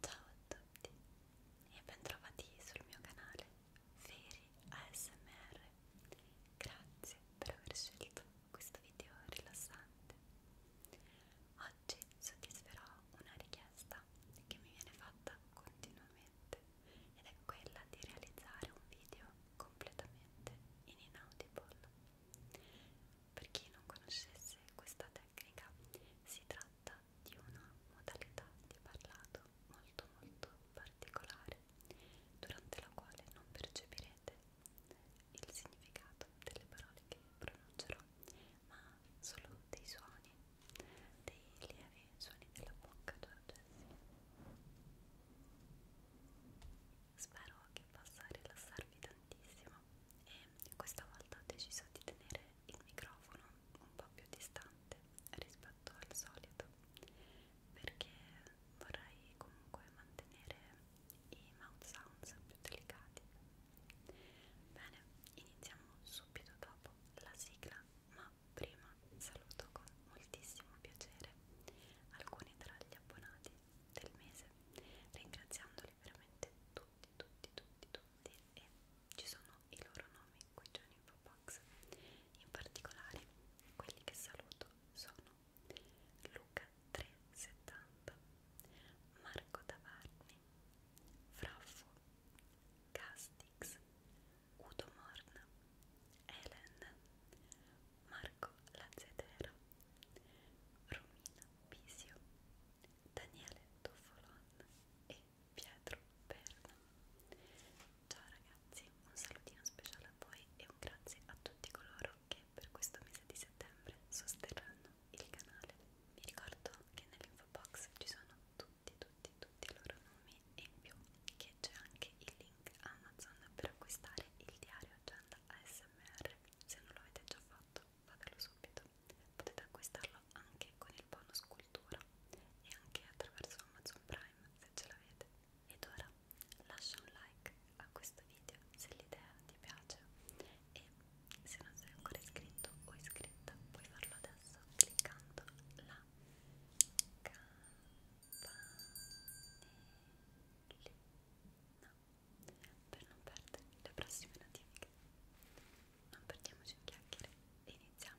Ciao a tutti e bentrovati sul mio canale Feri ASMR. Grazie per aver scelto questo video rilassante. Oggi soddisferò una richiesta che mi viene fatta continuamente ed è quella di realizzare un video completamente in inaudible. Per chi non conoscesse questa tecnica, tecnica si tratta di una modalità di parlato molto molto particolare durante la quale non percepirete il significato delle parole che pronuncerò ma solo dei suoni dei lievi suoni della bocca spero che possa rilassarvi tantissimo e questa volta ho deciso di tenere il microfono un po' più distante rispetto al solito perché vorrei comunque mantenere i mouth sounds più delicati bene iniziamo subito dopo la sigla ma prima saluto con moltissimo piacere alcuni tra gli abbonati del mese ringraziandoli veramente tutti tutti, tutti, tutti, tutti e ci sono i loro nomi qui già in info box. In particolare quelli che saluto sono Luca370, Marco Tavarni, Fraffo, Castix, Udo Morna, Helen, Marco Lazzetero, Romina Pisio, Daniele Toffolon e Pietro Perna. Ciao ragazzi, un salutino speciale a voi e un grazie a tutti coloro che per questo mese di settembre sosterranno il canale. Vi ricordo che nell'info box ci sono tutti, tutti, tutti i loro nomi e in più che c'è anche il link Amazon per acquistare il diario Agenda ASMR se non l'avete già fatto fatelo subito. Potete acquistarlo anche con il bonus cultura e anche attraverso Amazon Prime se ce l'avete. Ed ora lascia un like a questo video se l'idea ti piace e se non sei ancora iscritto o iscritta puoi farlo adesso cliccando la campanellina per non perdere le prossime notifiche. Non perdiamoci in chiacchiere e iniziamo!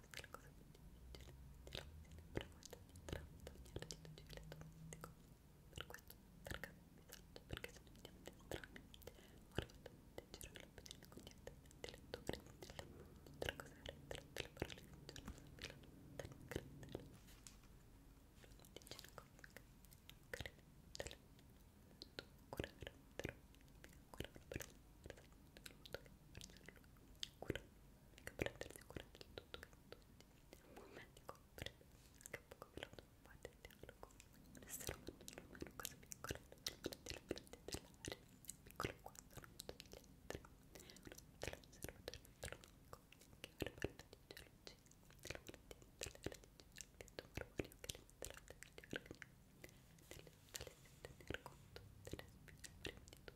questa è la cosa più difficile ti sempre molto dietro togliere di tutti i elettronici per questo cercate un messaggio perché se non siamo estranei normalmente girano l'opinione continuamente le tue prendite tra cose tre, tre parole che non sono sempre la notte credere dice la cosa credere tu curare però curare per la persona per la persona per la persona curare che prendersi cura di tutto che tutto è un momento comprende che poco veloce non fate il dialogo l'essere umano non è una cosa piccola prendete la prendete dell'aria è piccolo quanto non tutto gli altri non te l'osservatore astronomico che avrebbe di gelosia della mattina delle radici del marmorio che le metterà degli organi delle tale di tener conto delle spine prima di tutto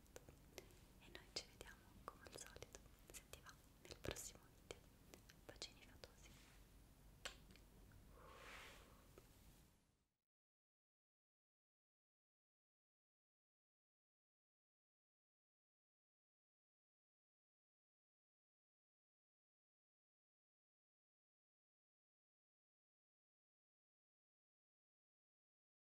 tanto e noi ci vediamo come al solito se ti va nel prossimo video bacini fatosi